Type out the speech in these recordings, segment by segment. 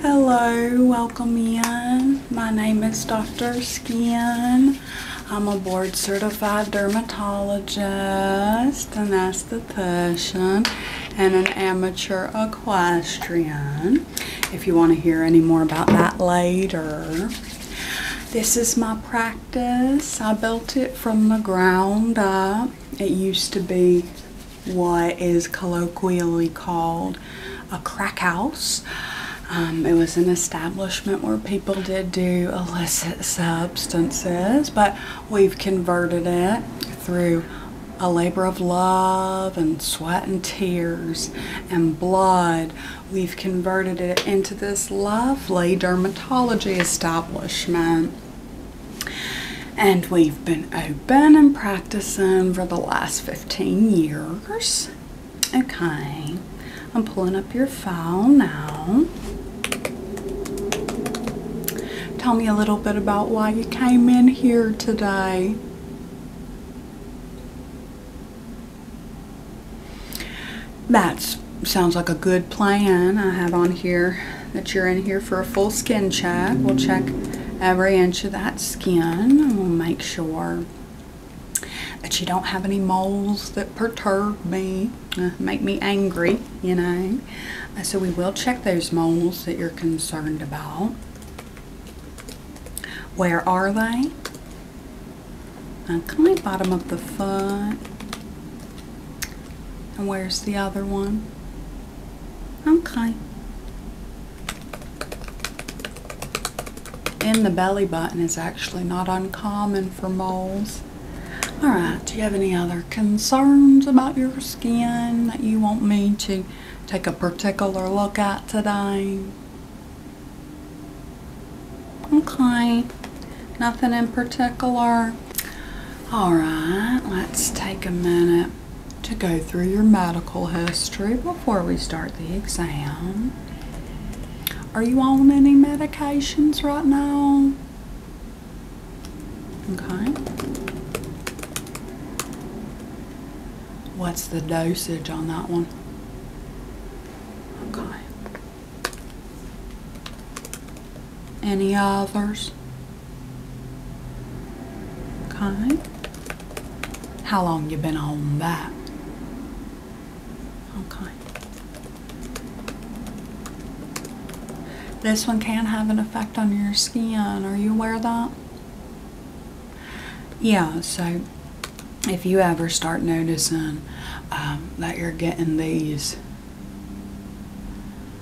Hello, welcome in. My name is Dr. Skin. I'm a board certified dermatologist, an and an amateur equestrian. If you want to hear any more about that later. This is my practice. I built it from the ground up. It used to be what is colloquially called a crack house. Um, it was an establishment where people did do illicit substances, but we've converted it through a labor of love and sweat and tears and blood. We've converted it into this lovely dermatology establishment and we've been open and practicing for the last 15 years. Okay, I'm pulling up your file now. Tell me a little bit about why you came in here today. That sounds like a good plan I have on here that you're in here for a full skin check. We'll check every inch of that skin we'll make sure that you don't have any moles that perturb me, uh, make me angry, you know. Uh, so we will check those moles that you're concerned about. Where are they? Uh, On the bottom of the foot. And where's the other one? Okay. In the belly button is actually not uncommon for moles. Alright, do you have any other concerns about your skin that you want me to take a particular look at today? Okay, nothing in particular. Alright, let's take a minute to go through your medical history before we start the exam. Are you on any medications right now? Okay. What's the dosage on that one? Okay. Any others? Okay. How long you been on that? Okay. This one can have an effect on your skin. Are you aware of that? Yeah, so if you ever start noticing um, that you're getting these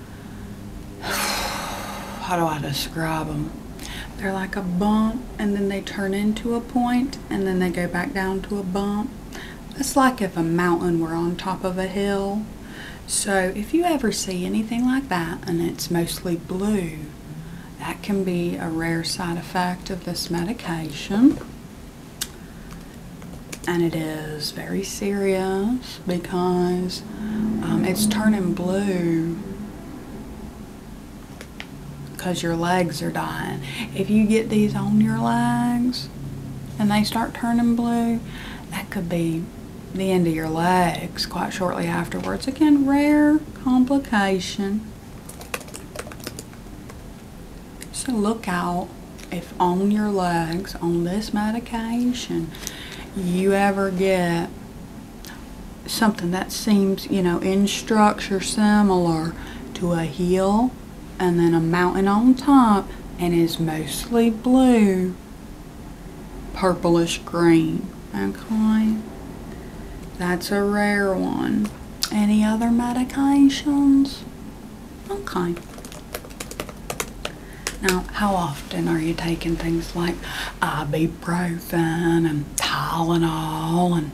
how do I describe them? They're like a bump and then they turn into a point and then they go back down to a bump. It's like if a mountain were on top of a hill. So if you ever see anything like that and it's mostly blue, that can be a rare side effect of this medication. And it is very serious because um, it's turning blue because your legs are dying. If you get these on your legs and they start turning blue, that could be the end of your legs quite shortly afterwards. Again, rare complication. So look out if on your legs on this medication you ever get something that seems, you know, in structure similar to a hill and then a mountain on top and is mostly blue, purplish green. Okay? That's a rare one. Any other medications? Okay. Now, how often are you taking things like uh, ibuprofen and Tylenol and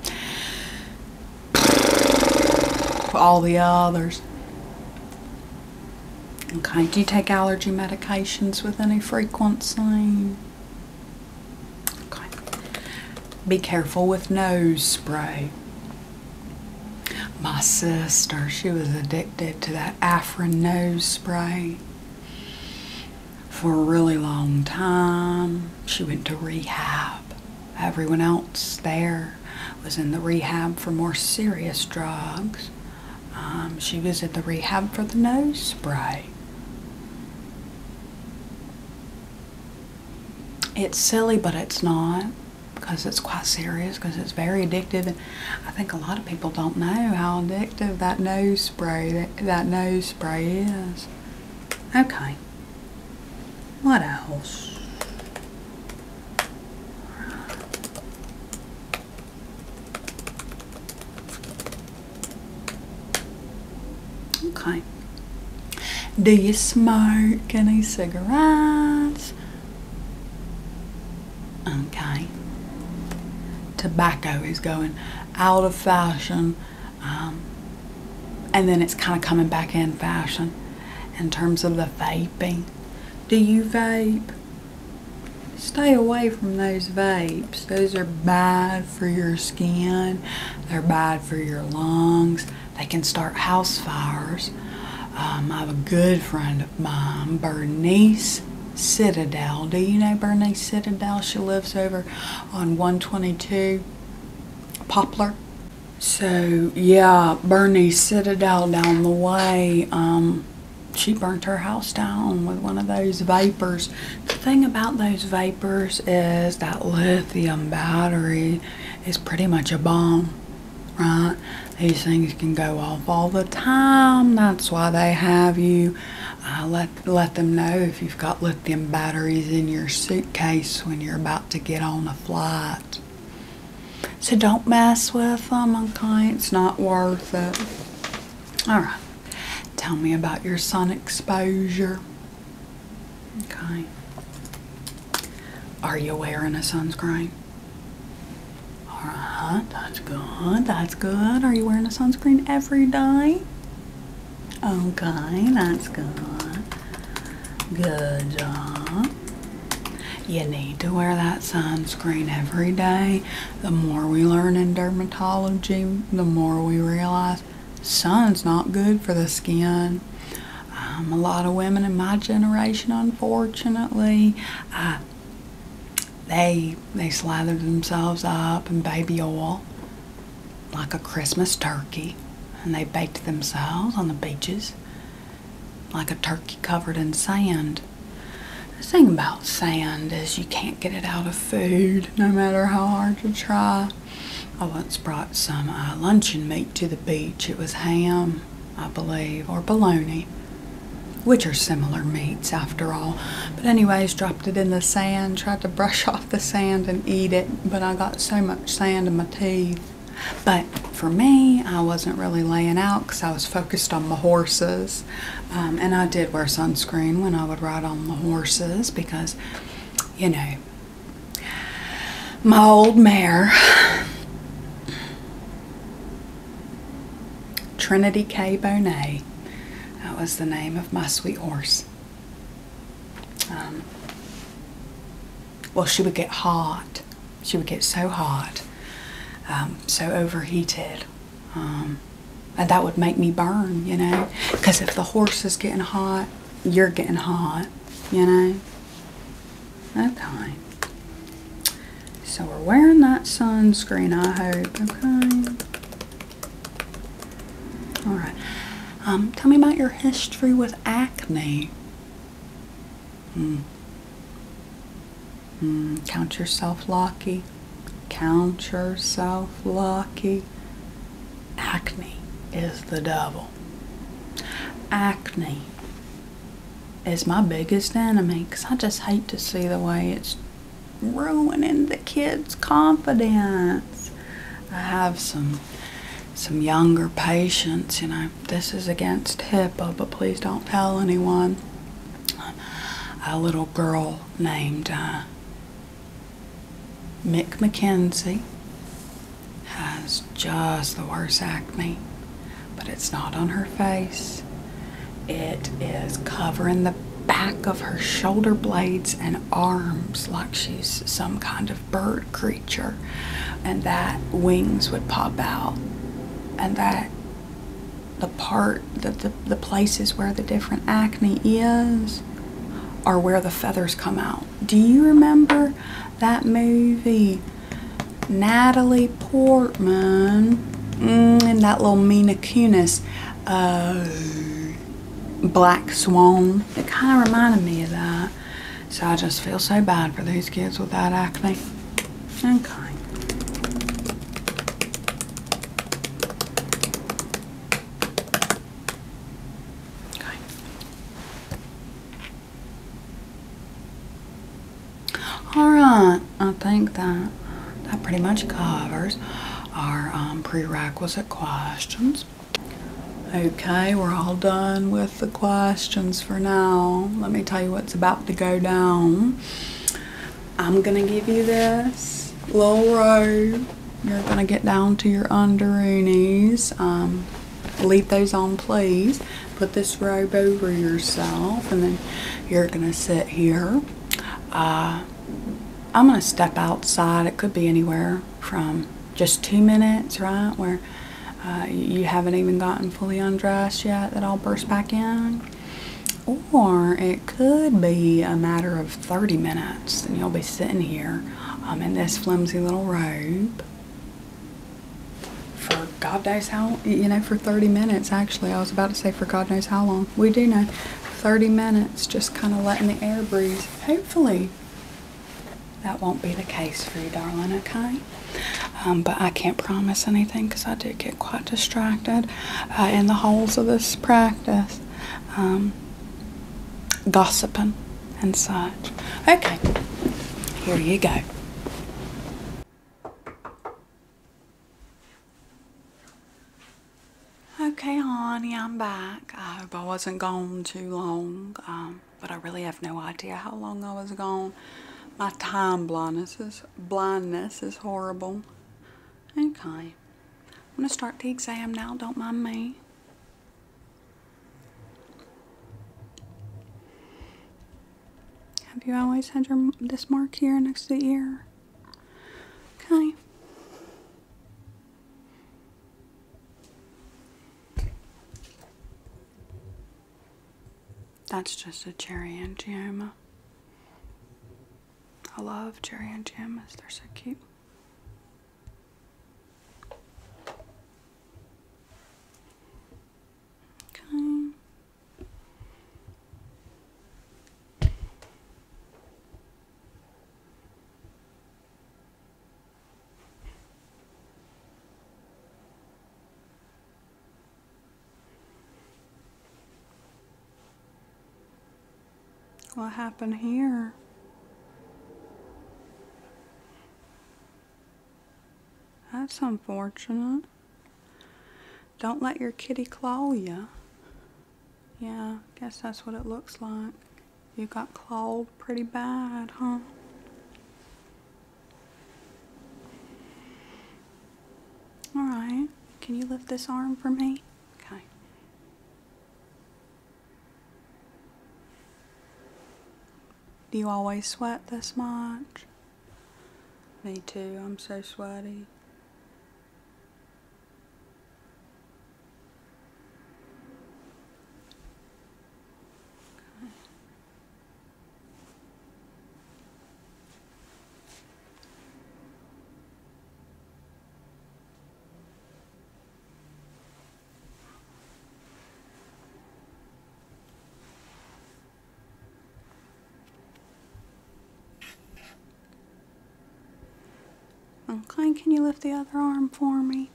all the others? Okay, do you take allergy medications with any frequency? Okay. Be careful with nose spray. My sister, she was addicted to that Afrin nose spray for a really long time. She went to rehab. Everyone else there was in the rehab for more serious drugs. Um, she was at the rehab for the nose spray. It's silly, but it's not because it's quite serious because it's very addictive I think a lot of people don't know how addictive that nose spray that, that nose spray is. Okay. What else? Okay. Do you smoke any cigarettes? Okay. Tobacco is going out of fashion. Um, and then it's kind of coming back in fashion in terms of the vaping. Do you vape? Stay away from those vapes. Those are bad for your skin. They're bad for your lungs. They can start house fires. Um, I have a good friend of mine, Bernice. Citadel. Do you know Bernie Citadel? She lives over on 122 Poplar. So, yeah, Bernie Citadel down the way. Um, she burnt her house down with one of those vapors. The thing about those vapors is that lithium battery is pretty much a bomb, right? These things can go off all the time. That's why they have you uh, let let them know if you've got lithium batteries in your suitcase when you're about to get on a flight. So don't mess with them, okay? It's not worth it. All right. Tell me about your sun exposure. Okay. Are you wearing a sunscreen? Alright, that's good, that's good. Are you wearing a sunscreen every day? Okay, that's good. Good job. You need to wear that sunscreen every day. The more we learn in dermatology, the more we realize sun's not good for the skin. Um, a lot of women in my generation, unfortunately, they they slathered themselves up in baby oil like a Christmas turkey, and they baked themselves on the beaches like a turkey covered in sand. The thing about sand is you can't get it out of food, no matter how hard you try. I once brought some uh, luncheon meat to the beach. It was ham, I believe, or bologna, which are similar meats after all. But, anyways, dropped it in the sand, tried to brush off the sand and eat it, but I got so much sand in my teeth. But for me, I wasn't really laying out because I was focused on the horses. Um, and I did wear sunscreen when I would ride on the horses because, you know, my old mare Trinity K. Bonnet. That was the name of my sweet horse. Um, well, she would get hot. She would get so hot, um, so overheated. Um, that would make me burn, you know? Because if the horse is getting hot, you're getting hot, you know? Okay. So we're wearing that sunscreen, I hope. Okay. Alright. Um, tell me about your history with acne. Hmm. Mm, count yourself lucky. Count yourself lucky. Acne is the devil. Acne is my biggest enemy because I just hate to see the way it's ruining the kids' confidence. I have some some younger patients, you know, this is against HIPAA, but please don't tell anyone. A little girl named uh, Mick McKenzie has just the worst acne but it's not on her face. It is covering the back of her shoulder blades and arms like she's some kind of bird creature, and that wings would pop out, and that the part that the, the places where the different acne is are where the feathers come out. Do you remember that movie Natalie Portman, mm, and that little Mina Kunis, oh, Black Swan. It kind of reminded me of that. So I just feel so bad for these kids without that acne. Okay. Alright, I think that that pretty much covers our um, prerequisite questions. Okay, we're all done with the questions for now. Let me tell you what's about to go down. I'm gonna give you this little row. You're gonna get down to your underoonies. Um, leave those on, please put this robe over yourself and then you're gonna sit here uh, i'm gonna step outside it could be anywhere from just two minutes right where uh, you haven't even gotten fully undressed yet that i'll burst back in or it could be a matter of 30 minutes and you'll be sitting here um, in this flimsy little robe for God knows how, you know, for 30 minutes actually. I was about to say for God knows how long. We do know 30 minutes just kind of letting the air breathe. Hopefully that won't be the case for you, darling, okay? Um, but I can't promise anything because I did get quite distracted uh, in the holes of this practice, um, gossiping and such. Okay, here you go. Okay, honey, I'm back. I hope I wasn't gone too long, um, but I really have no idea how long I was gone. My time blindness is, blindness is horrible. Okay, I'm going to start the exam now. Don't mind me. Have you always had your, this mark here next to the ear? Okay. That's just a cherry angioma. I love cherry angiomas, they're so cute. Okay. What happened here? That's unfortunate. Don't let your kitty claw you. Yeah, guess that's what it looks like. You got clawed pretty bad, huh? Alright, can you lift this arm for me? Okay. Do you always sweat this much? Me too, I'm so sweaty. Okay, can you lift the other arm for me?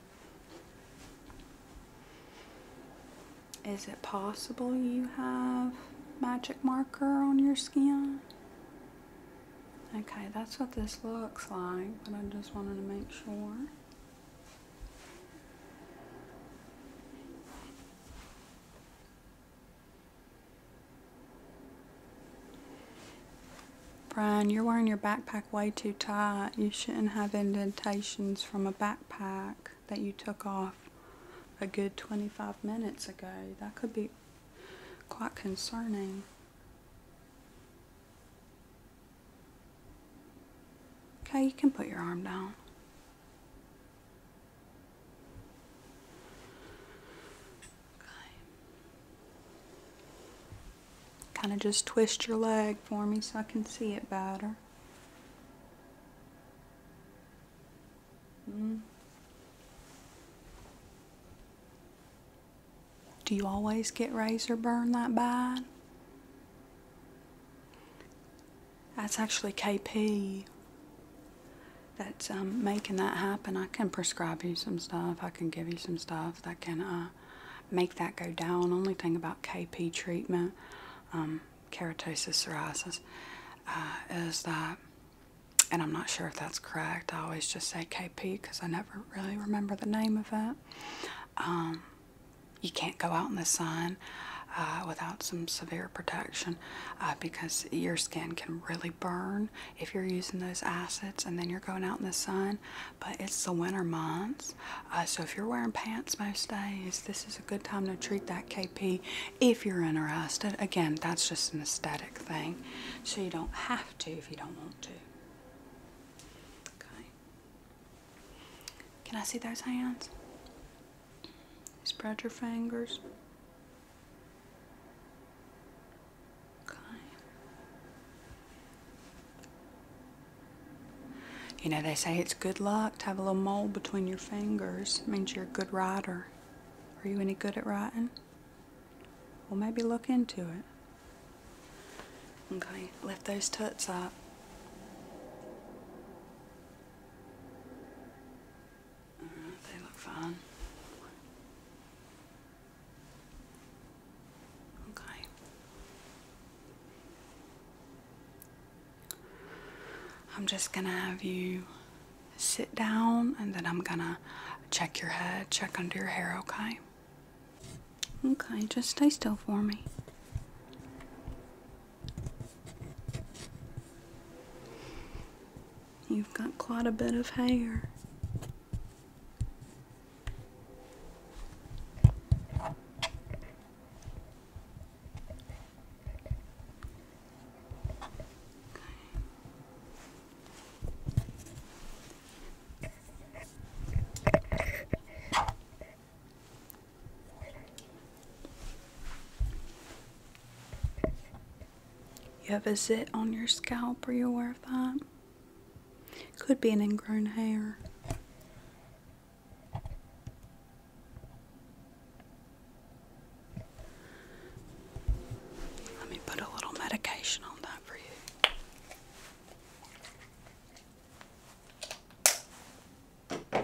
Is it possible you have magic marker on your skin? Okay, that's what this looks like, but I just wanted to make sure. Brian, you're wearing your backpack way too tight. You shouldn't have indentations from a backpack that you took off a good 25 minutes ago. That could be quite concerning. Okay, you can put your arm down. Kind of just twist your leg for me so I can see it better. Mm-hmm. Do you always get razor burn that bad? That's actually KP that's um, making that happen. I can prescribe you some stuff. I can give you some stuff that can uh, make that go down. Only thing about KP treatment, um, keratosis psoriasis, uh, is that, and I'm not sure if that's correct. I always just say KP because I never really remember the name of that you can't go out in the sun uh, without some severe protection uh, because your skin can really burn if you're using those acids and then you're going out in the sun. But it's the winter months, uh, so if you're wearing pants most days, this is a good time to treat that KP if you're interested. Again, that's just an aesthetic thing, so you don't have to if you don't want to. Okay. Can I see those hands? Spread your fingers. Okay. You know, they say it's good luck to have a little mole between your fingers. means you're a good writer. Are you any good at writing? Well, maybe look into it. Okay, lift those tuts up. Mm-hmm, they look fine. Okay. I'm just gonna have you sit down and then I'm gonna check your head, check under your hair, okay? Okay, just stay still for me. You've got quite a bit of hair. You have a zit on your scalp. Are you aware of that? Could be an ingrown hair. Let me put a little medication on that for you. Okay.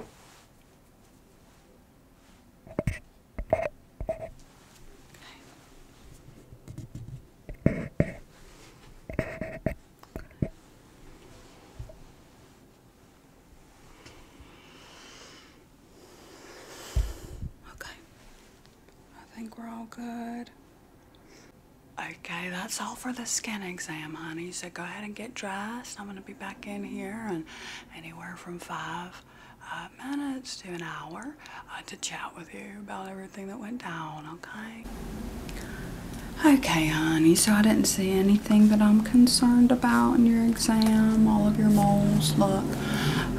I think we're all good. Okay, that's all for the skin exam, honey. He said, Go ahead and get dressed. I'm going to be back in here and anywhere from five uh, minutes to an hour uh, to chat with you about everything that went down, okay? Okay, honey, so I didn't see anything that I'm concerned about in your exam. All of your moles look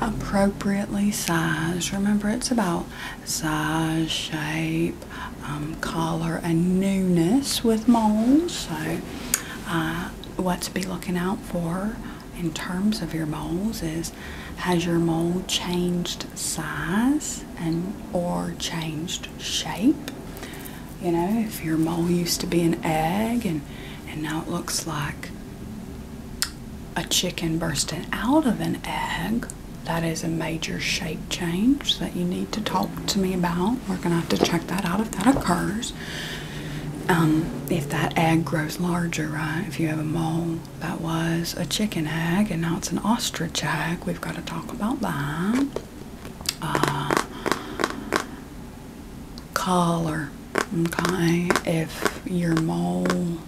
appropriately sized. Remember, it's about size, shape, um, color and newness with moles. So, uh, what to be looking out for in terms of your moles is has your mole changed size and or changed shape? You know, if your mole used to be an egg and and now it looks like a chicken bursting out of an egg, that is a major shape change that you need to talk to me about. We're going to have to check that out if that occurs. Um, if that egg grows larger, right? If you have a mole that was a chicken egg and now it's an ostrich egg, we've got to talk about that. Uh, color, okay? If your mole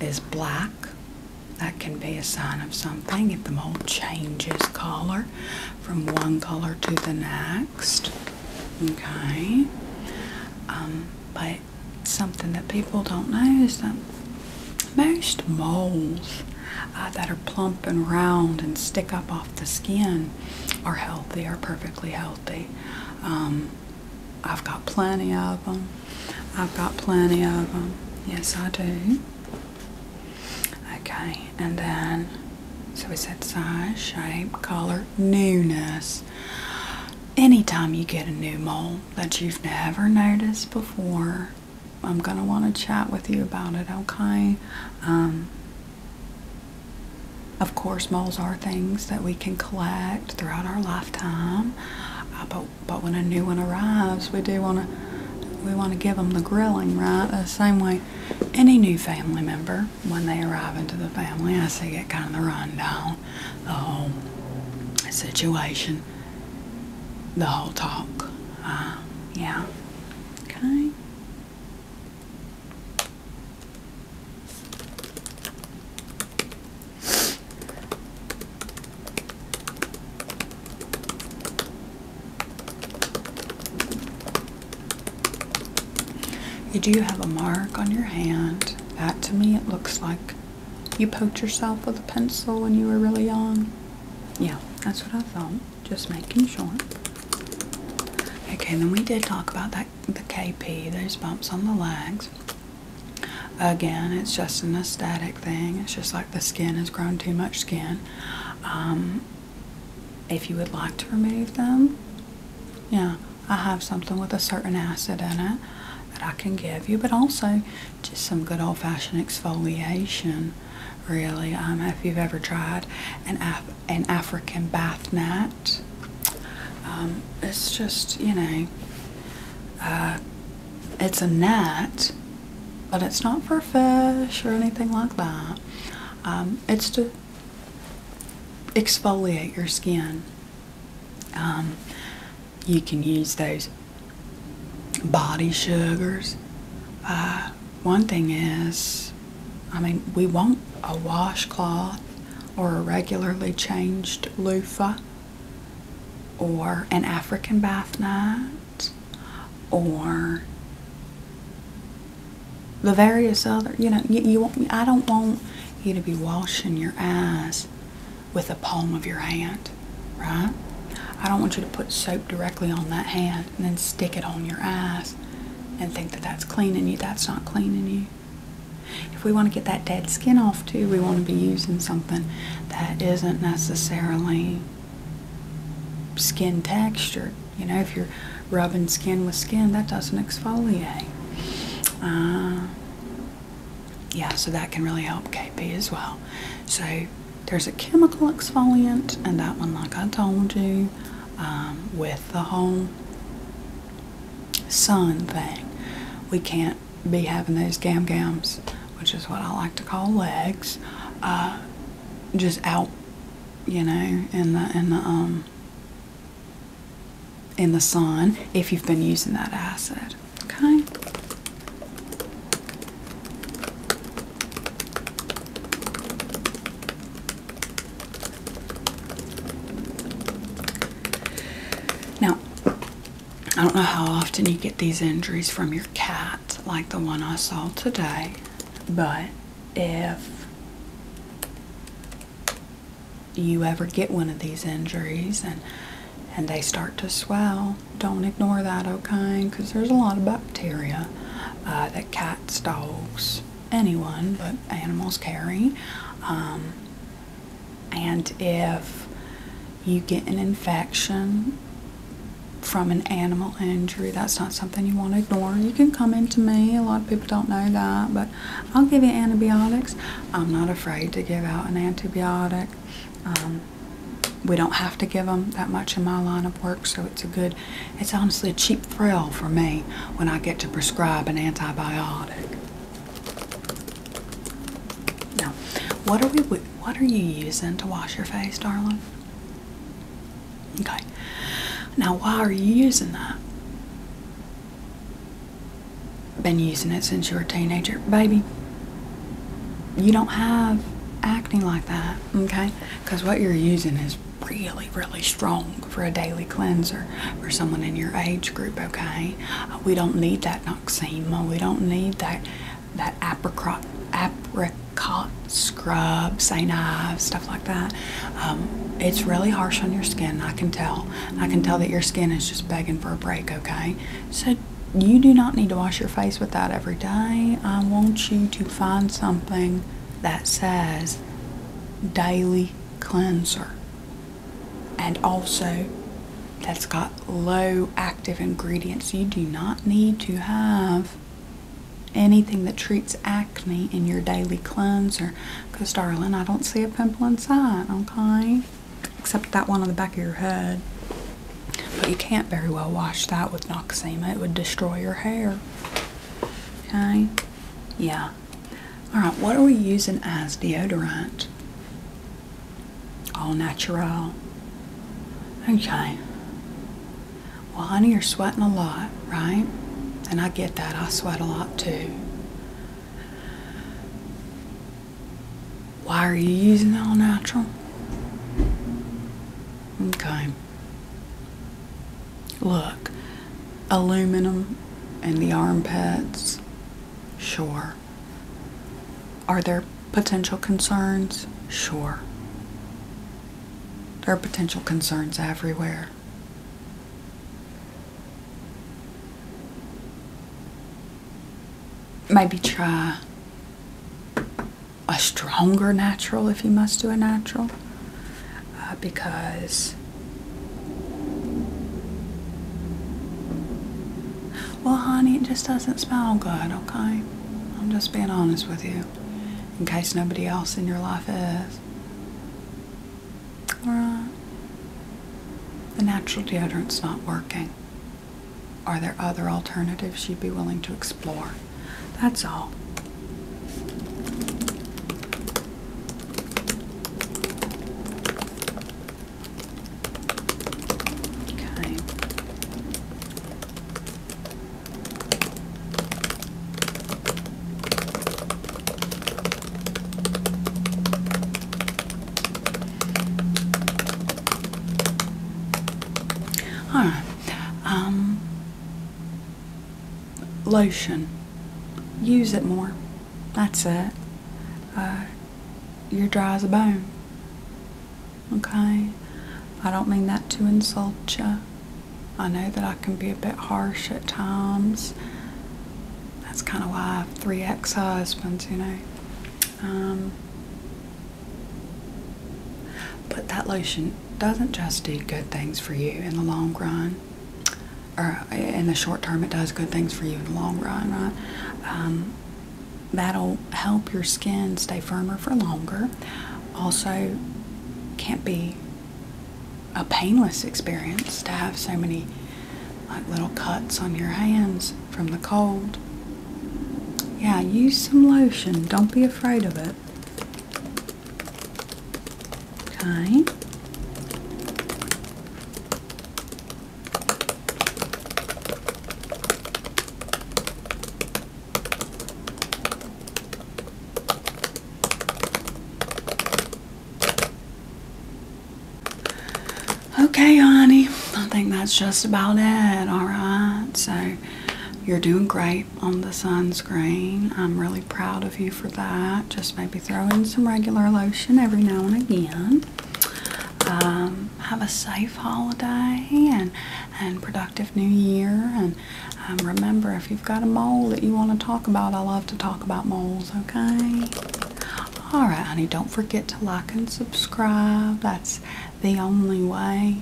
is black, that can be a sign of something. If the mole changes color, from one color to the next. Okay. Um, but something that people don't know is that most moles uh, that are plump and round and stick up off the skin are healthy, are perfectly healthy. Um, I've got plenty of them. I've got plenty of them. Yes, I do. Okay, and then so we said size, shape, color, newness. Anytime you get a new mold that you've never noticed before, I'm gonna want to chat with you about it. Okay. Um, of course, molds are things that we can collect throughout our lifetime, uh, but but when a new one arrives, we do want to we want to give them the grilling, right? The uh, same way any new family member, when they arrive into the family, I see it kind of the rundown, the whole situation, the whole talk. Uh, yeah. Okay. You do have a mark on your hand. That to me, it looks like you poked yourself with a pencil when you were really young. Yeah, that's what I thought. Just making sure. Okay, then we did talk about that the KP, those bumps on the legs. Again, it's just an aesthetic thing. It's just like the skin has grown too much skin. Um, if you would like to remove them, yeah, I have something with a certain acid in it that I can give you, but also just some good old fashioned exfoliation. Really, um, if you've ever tried an an African bath mat, um, it's just you know, uh, it's a gnat but it's not for fish or anything like that. Um, it's to exfoliate your skin. Um, you can use those body sugars. Uh, one thing is, I mean, we want a washcloth or a regularly changed loofah or an African bath night or the various other, you know, you, want me. I don't want you to be washing your eyes with the palm of your hand, right? I don't want you to put soap directly on that hand and then stick it on your eyes and think that that's cleaning you. That's not cleaning you. If we want to get that dead skin off too, we want to be using something that isn't necessarily skin texture. You know, if you're rubbing skin with skin, that doesn't exfoliate. Uh, yeah, so that can really help KP as well. So there's a chemical exfoliant, and that one, like I told you, um, with the whole sun thing, we can't be having those gam gams which is what I like to call legs, uh, just out, you know, in the in the um, in the sun if you've been using that acid. Okay. Now, I don't know how often you get these injuries from your cat like the one I saw today, but if you ever get one of these injuries and and they start to swell, don't ignore that, okay? Because there's a lot of bacteria uh, that cats, dogs, anyone but animals carry. Um, and if you get an infection from an animal injury. That's not something you want to ignore. You can come into me. A lot of people don't know that, but I'll give you antibiotics. I'm not afraid to give out an antibiotic. Um, we don't have to give them that much in my line of work, so it's a good, it's honestly a cheap thrill for me when I get to prescribe an antibiotic. Now, what are we what are you using to wash your face, darling? Okay. Now, why are you using that? Been using it since you were a teenager. Baby, you don't have acne like that, okay? Because what you're using is really, really strong for a daily cleanser for someone in your age group, okay? We don't need that noxema. We don't need that that apricot, apricot scrub, Saint-Ives, stuff like that. Um, it's really harsh on your skin, I can tell. I can tell that your skin is just begging for a break, okay? So you do not need to wash your face with that every day. I want you to find something that says daily cleanser and also that's got low active ingredients. You do not need to have anything that treats acne in your daily cleanser because, darling, I don't see a pimple inside, okay? Except that one on the back of your head. But you can't very well wash that with Noxema, it would destroy your hair. Okay? Yeah. Alright, what are we using as deodorant? All natural. Okay. Well, honey, you're sweating a lot, right? And I get that. I sweat a lot too. Why are you using all natural? Okay. Look, aluminum and the armpits, sure. Are there potential concerns? Sure. There are potential concerns everywhere. Maybe try a stronger natural if you must do a natural uh, because well, honey, it just doesn't smell good, okay? I'm just being honest with you in case nobody else in your life is. Alright. The natural deodorant's not working. Are there other alternatives you'd be willing to explore? That's all. Okay. All right. Um, lotion. Use it more. That's it. Uh, you're dry as a bone. Okay? I don't mean that to insult you. I know that I can be a bit harsh at times. That's kind of why I have three ex husbands, you know. Um, but that lotion doesn't just do good things for you in the long run. Or uh, in the short term, it does good things for you in the long run, right? Um, that'll help your skin stay firmer for longer. Also, can't be a painless experience to have so many like little cuts on your hands from the cold. Yeah, use some lotion. Don't be afraid of it. Okay. Okay, honey, I think that's just about it, alright? So, you're doing great on the sunscreen. I'm really proud of you for that. Just maybe throw in some regular lotion every now and again. Um, have a safe holiday and and productive new year. And um, remember, if you've got a mole that you want to talk about, I love to talk about moles. Okay. All right, honey. Don't forget to like and subscribe. That's the only way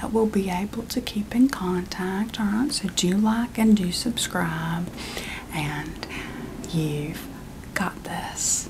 that we'll be able to keep in contact. All right. So do like and do subscribe, and you've got this.